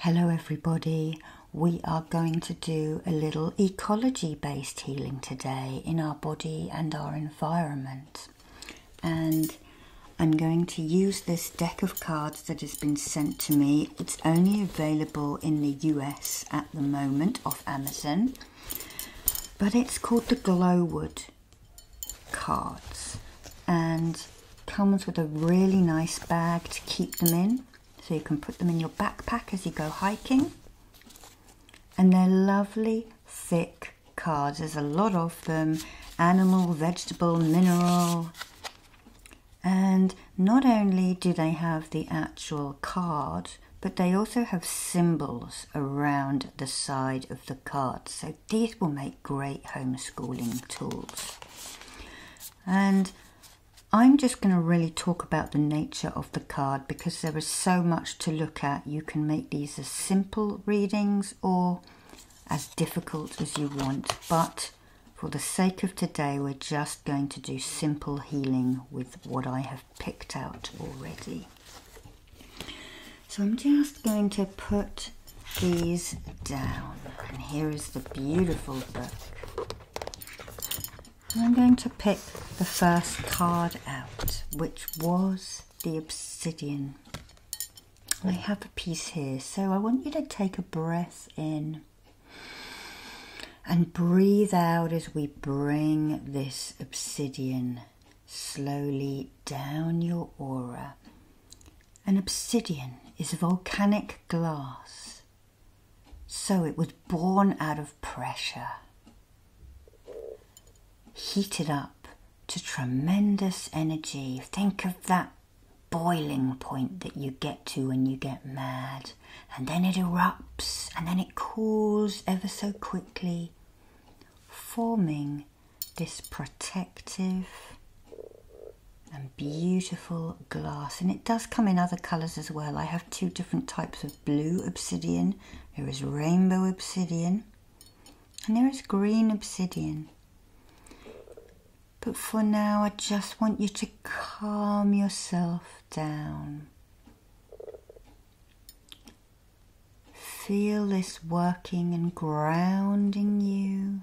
Hello everybody, we are going to do a little ecology based healing today in our body and our environment. And I'm going to use this deck of cards that has been sent to me. It's only available in the US at the moment off Amazon, but it's called the Glowwood cards. And Comes with a really nice bag to keep them in. So you can put them in your backpack as you go hiking. And they're lovely, thick cards. There's a lot of them. Animal, vegetable, mineral. And not only do they have the actual card, but they also have symbols around the side of the card. So these will make great homeschooling tools. And I'm just going to really talk about the nature of the card because there is so much to look at. You can make these as simple readings or as difficult as you want, but for the sake of today, we're just going to do simple healing with what I have picked out already. So I'm just going to put these down. And here is the beautiful book. I'm going to pick the first card out, which was the obsidian. I have a piece here, so I want you to take a breath in and breathe out as we bring this obsidian slowly down your aura an obsidian is volcanic glass, so it was born out of pressure, heated up to tremendous energy. Think of that boiling point that you get to when you get mad, and then it erupts, and then it cools ever so quickly, forming this protective and beautiful glass and it does come in other colors as well I have two different types of blue obsidian there is rainbow obsidian and there is green obsidian but for now I just want you to calm yourself down feel this working and grounding you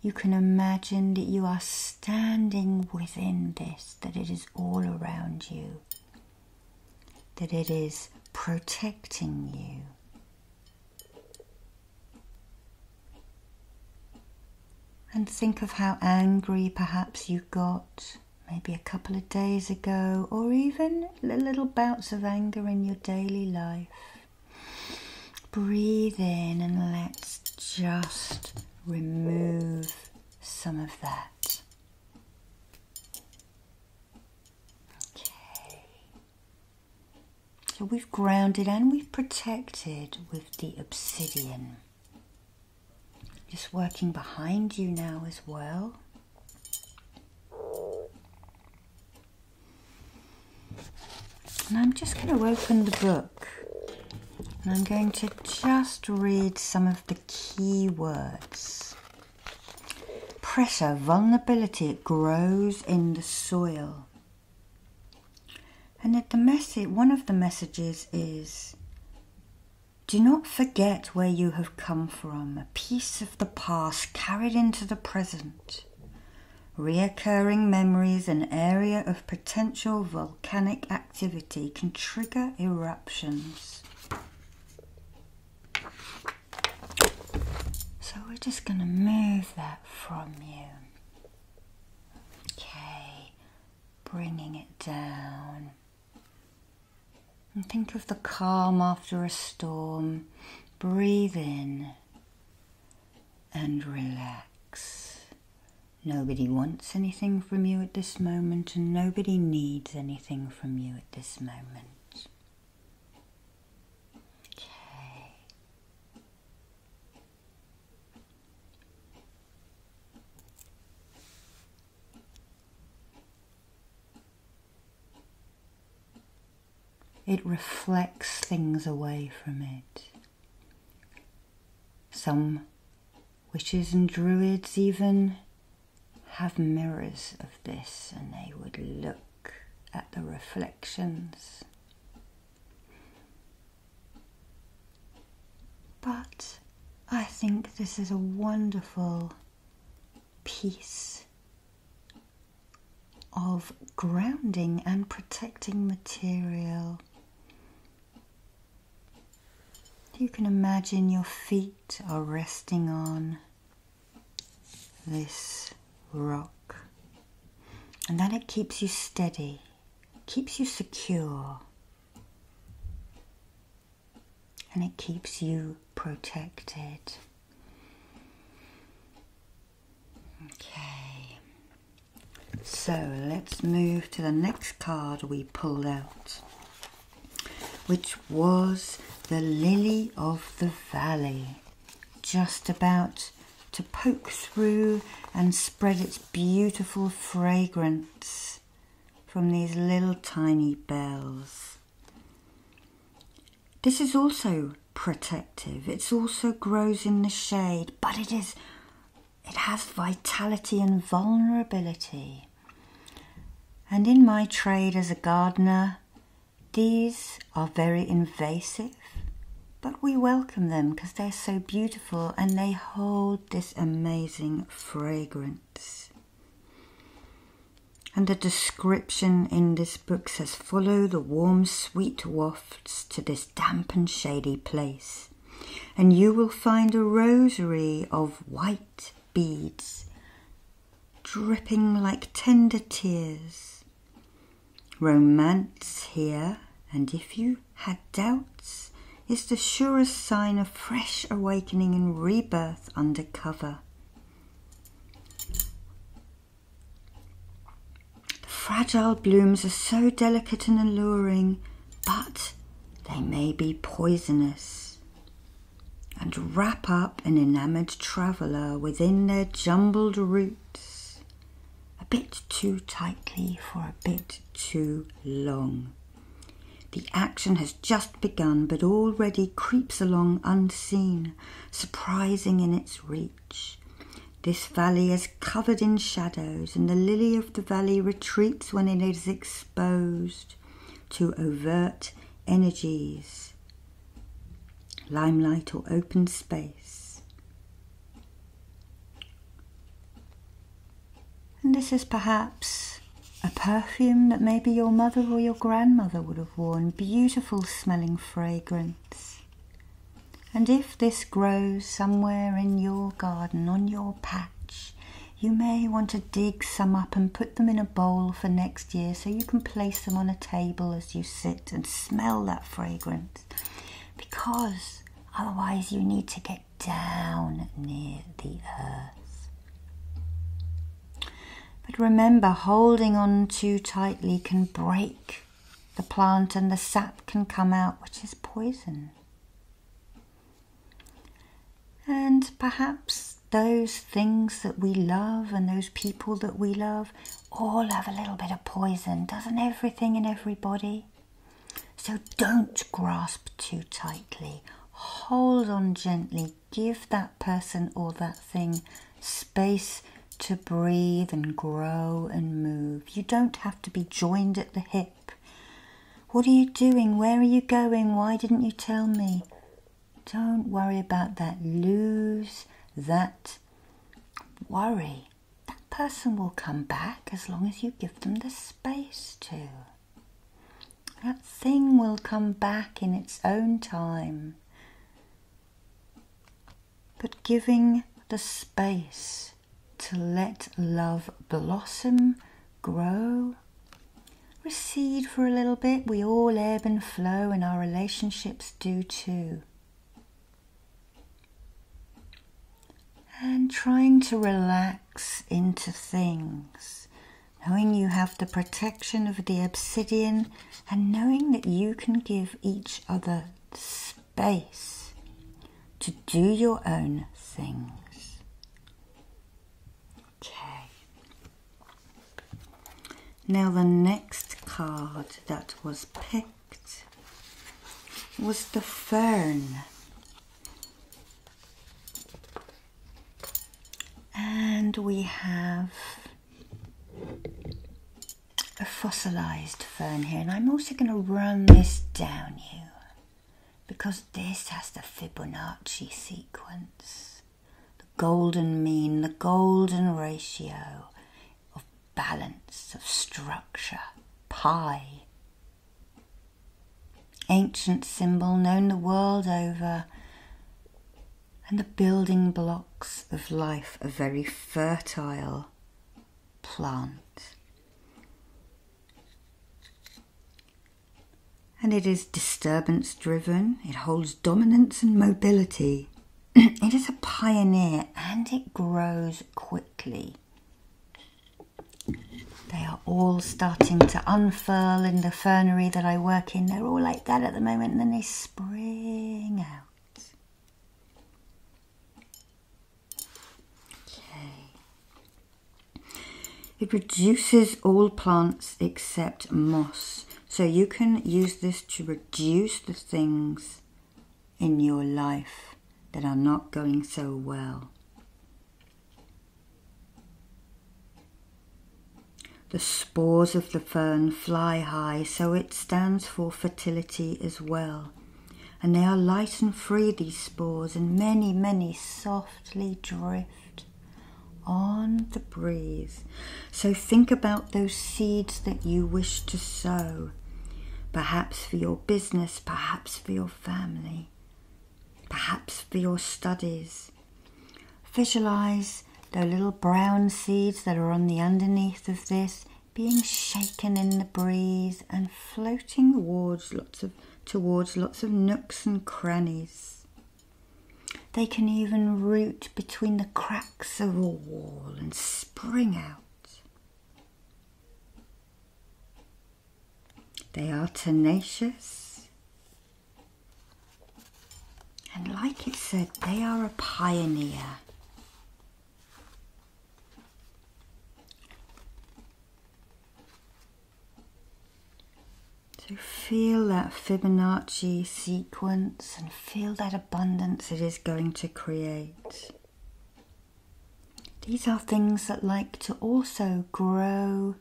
you can imagine that you are standing within this, that it is all around you, that it is protecting you. And think of how angry perhaps you got maybe a couple of days ago, or even little bouts of anger in your daily life. Breathe in and let's just remove some of that. Okay. So we've grounded and we've protected with the obsidian. Just working behind you now as well. And I'm just going to open the book and I'm going to just read some of the key words. Pressure, vulnerability, it grows in the soil. And the message, one of the messages is do not forget where you have come from, a piece of the past carried into the present. Egypt. Reoccurring memories an area of potential volcanic activity can trigger eruptions. So we're just going to move that from you. Okay, bringing it down. And think of the calm after a storm. Breathe in and relax. Nobody wants anything from you at this moment, and nobody needs anything from you at this moment. Okay. It reflects things away from it. Some witches and druids even have mirrors of this and they would look at the reflections. But I think this is a wonderful piece of grounding and protecting material. You can imagine your feet are resting on this rock, and that it keeps you steady, keeps you secure, and it keeps you protected. Okay, so let's move to the next card we pulled out, which was the Lily of the Valley, just about to poke through and spread its beautiful fragrance from these little tiny bells. This is also protective. It also grows in the shade, but it is it has vitality and vulnerability. And in my trade as a gardener, these are very invasive, but we welcome them because they're so beautiful and they hold this amazing fragrance. And the description in this book says follow the warm, sweet wafts to this damp and shady place, and you will find a rosary of white beads dripping like tender tears. Romance here, and if you had doubts, is the surest sign of fresh awakening and rebirth under cover. The fragile blooms are so delicate and alluring, but they may be poisonous and wrap up an enamoured traveller within their jumbled roots a bit too tightly for a bit too long. The action has just begun but already creeps along unseen surprising in its reach. This valley is covered in shadows, and the lily of the valley retreats when it is exposed to overt energies, limelight, or open space. And this is perhaps a perfume that maybe your mother or your grandmother would have worn, beautiful smelling fragrance. And if this grows somewhere in your garden, on your patch, you may want to dig some up and put them in a bowl for next year so you can place them on a table as you sit and smell that fragrance. Because otherwise, you need to get down near the earth. But remember, holding on too tightly can break the plant and the sap can come out, which is poison. And perhaps those things that we love and those people that we love all have a little bit of poison, doesn't everything and everybody? So don't grasp too tightly. Hold on gently, give that person or that thing space to breathe and grow and move. You don't have to be joined at the hip. What are you doing? Where are you going? Why didn't you tell me? Don't worry about that. Lose that worry. That person will come back as long as you give them the space to. That thing will come back in its own time. But giving the space to let love blossom, grow, recede for a little bit. We all ebb and flow, and our relationships do too. And trying to relax into things knowing you have the protection of the obsidian, and knowing that you can give each other space to do your own things. Okay. Now, the next card that was picked was the fern. And we have a fossilized fern here and I'm also going to run this down you because this has the Fibonacci sequence the golden mean the golden ratio of balance of structure pi ancient symbol known the world over and the building blocks of life a very fertile plant. And it is disturbance driven, it holds dominance and mobility. it is a pioneer and it grows quickly. They are all starting to unfurl in the fernery that I work working, they're all like that at the moment, and then they spring out. Okay. It reduces all plants except moss. So you can use this to reduce the things in your life that are not going so well. The spores of the fern fly high, so it stands for fertility as well. And they are light and free, these spores, and many, many softly drift on the breeze. So think about those seeds that you wish to sow, perhaps for your business, perhaps for your family, perhaps for your studies, Visualize the little brown seeds that are on the underneath of this being shaken in the breeze and floating towards lots of, towards lots of nooks and crannies. They can even root between the cracks of a wall and spring out. They are tenacious and like it said, they are a pioneer. So feel that Fibonacci sequence and feel that abundance it is going to create. These are things that like to also grow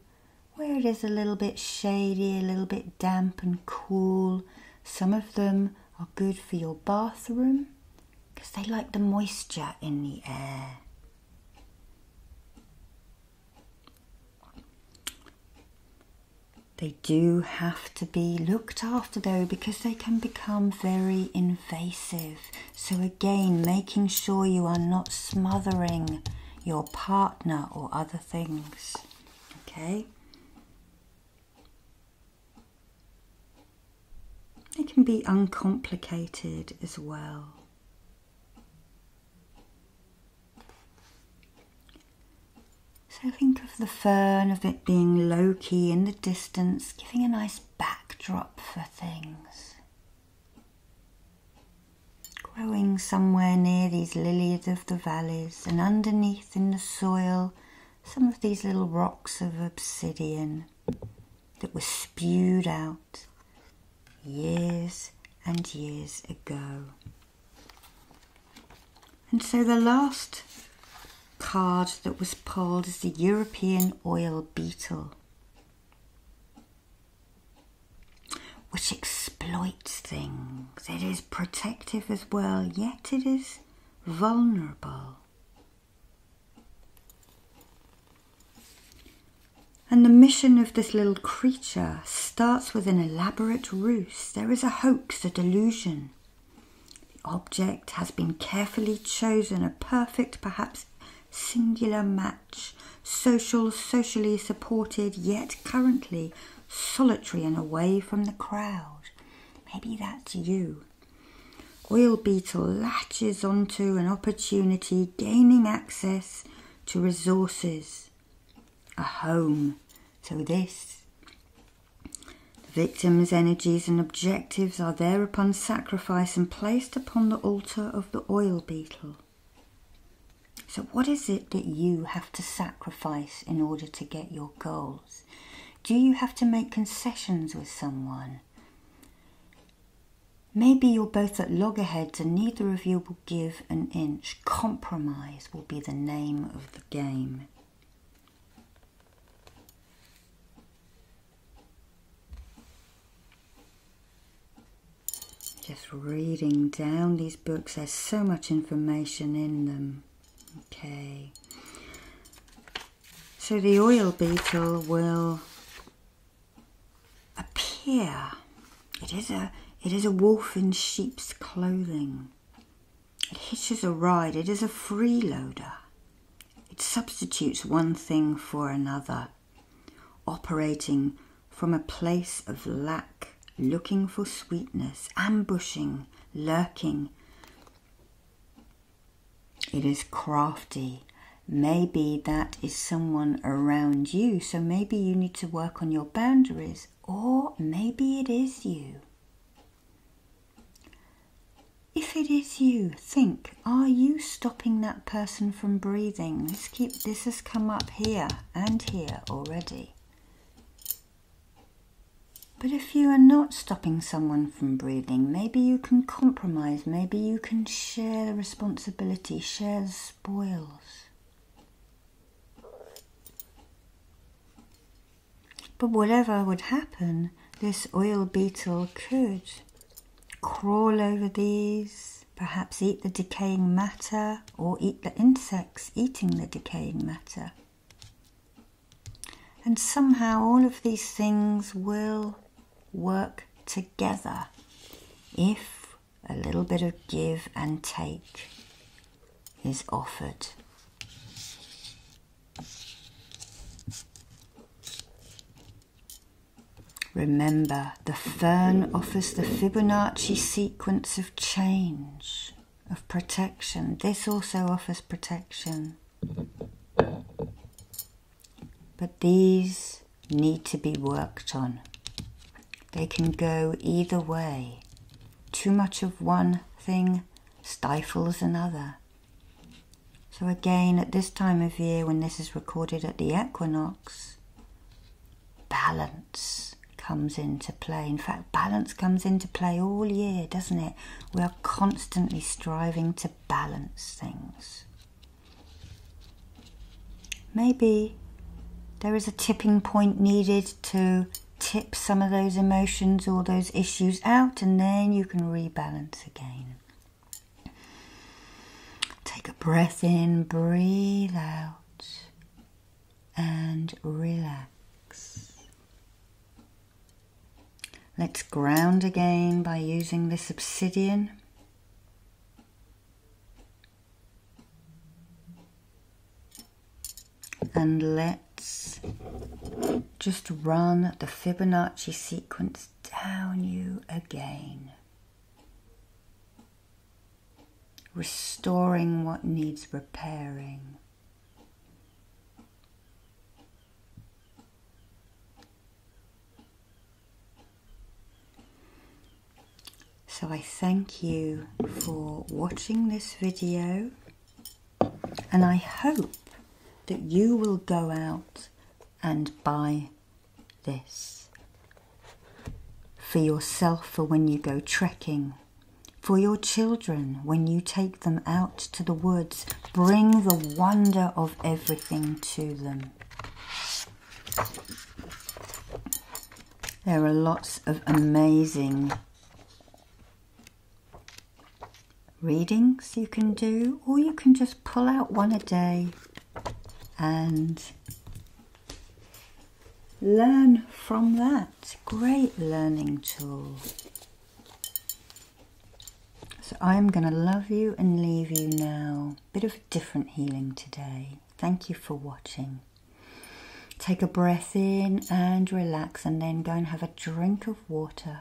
where it is a little bit shady, a little bit damp and cool. Some of them are good for your bathroom because they like the moisture in the air. They do have to be looked after though because they can become very invasive. So, again, making sure you are not smothering your partner or other things. Okay? It can be uncomplicated as well. So think of the fern, of it being low key in the distance, giving a nice backdrop for things growing somewhere near these lilies of the valleys and underneath in the soil some of these little rocks of obsidian that were spewed out years and years ago. And so the last card that was pulled is the European oil beetle which exploits things. It is protective as well, yet it is vulnerable. And the mission of this little creature starts with an elaborate ruse. There is a hoax, a delusion. The object has been carefully chosen, a perfect, perhaps singular match social, socially supported, yet currently solitary and away from the crowd. Maybe that's you. Oil beetle latches onto an opportunity, gaining access to resources, a home. So, this. The victim's energies and objectives are thereupon sacrificed and placed upon the altar of the oil beetle. So, what is it that you have to sacrifice in order to get your goals? Do you have to make concessions with someone? Maybe you're both at loggerheads and neither of you will give an inch. Compromise will be the name of the game. Just reading down these books, there's so much information in them. Okay. So the oil beetle will appear. It is a it is a wolf in sheep's clothing. It hitches a ride. It is a freeloader. It substitutes one thing for another operating from a place of lack, looking for sweetness, ambushing, lurking. It is crafty. Maybe that is someone around you, so maybe you need to work on your boundaries, or maybe it is you. If it is you, think, are you stopping that person from breathing? this has come up here and here already. But if you are not stopping someone from breathing, maybe you can compromise, maybe you can share the responsibility, share the spoils. But whatever would happen, this oil beetle could crawl over these perhaps eat the decaying matter or eat the insects eating the decaying matter. And somehow all of these things will work together if a little bit of give and take is offered. Remember, the fern offers the Fibonacci sequence of change, of protection. This also offers protection. But these need to be worked on. They can go either way. Too much of one thing stifles another. So, again, at this time of year when this is recorded at the equinox, balance comes into play. In fact, balance comes into play all year, doesn't it? We are constantly striving to balance things. Maybe there is a tipping point needed to tip some of those emotions or those issues out, and then you can rebalance again. Take a breath in, breathe out, and relax. Let's ground again by using this obsidian. And let's just run the Fibonacci sequence down you again restoring what needs repairing. So I thank you for watching this video and I hope that you will go out and buy this for yourself for when you go trekking, for your children when you take them out to the woods. Bring the wonder of everything to them. There are lots of amazing readings you can do, or you can just pull out one a day and learn from that. Great learning tool. So I'm going to love you and leave you now. Bit of a different healing today. Thank you for watching. Take a breath in and relax and then go and have a drink of water.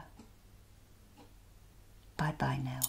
Bye bye now.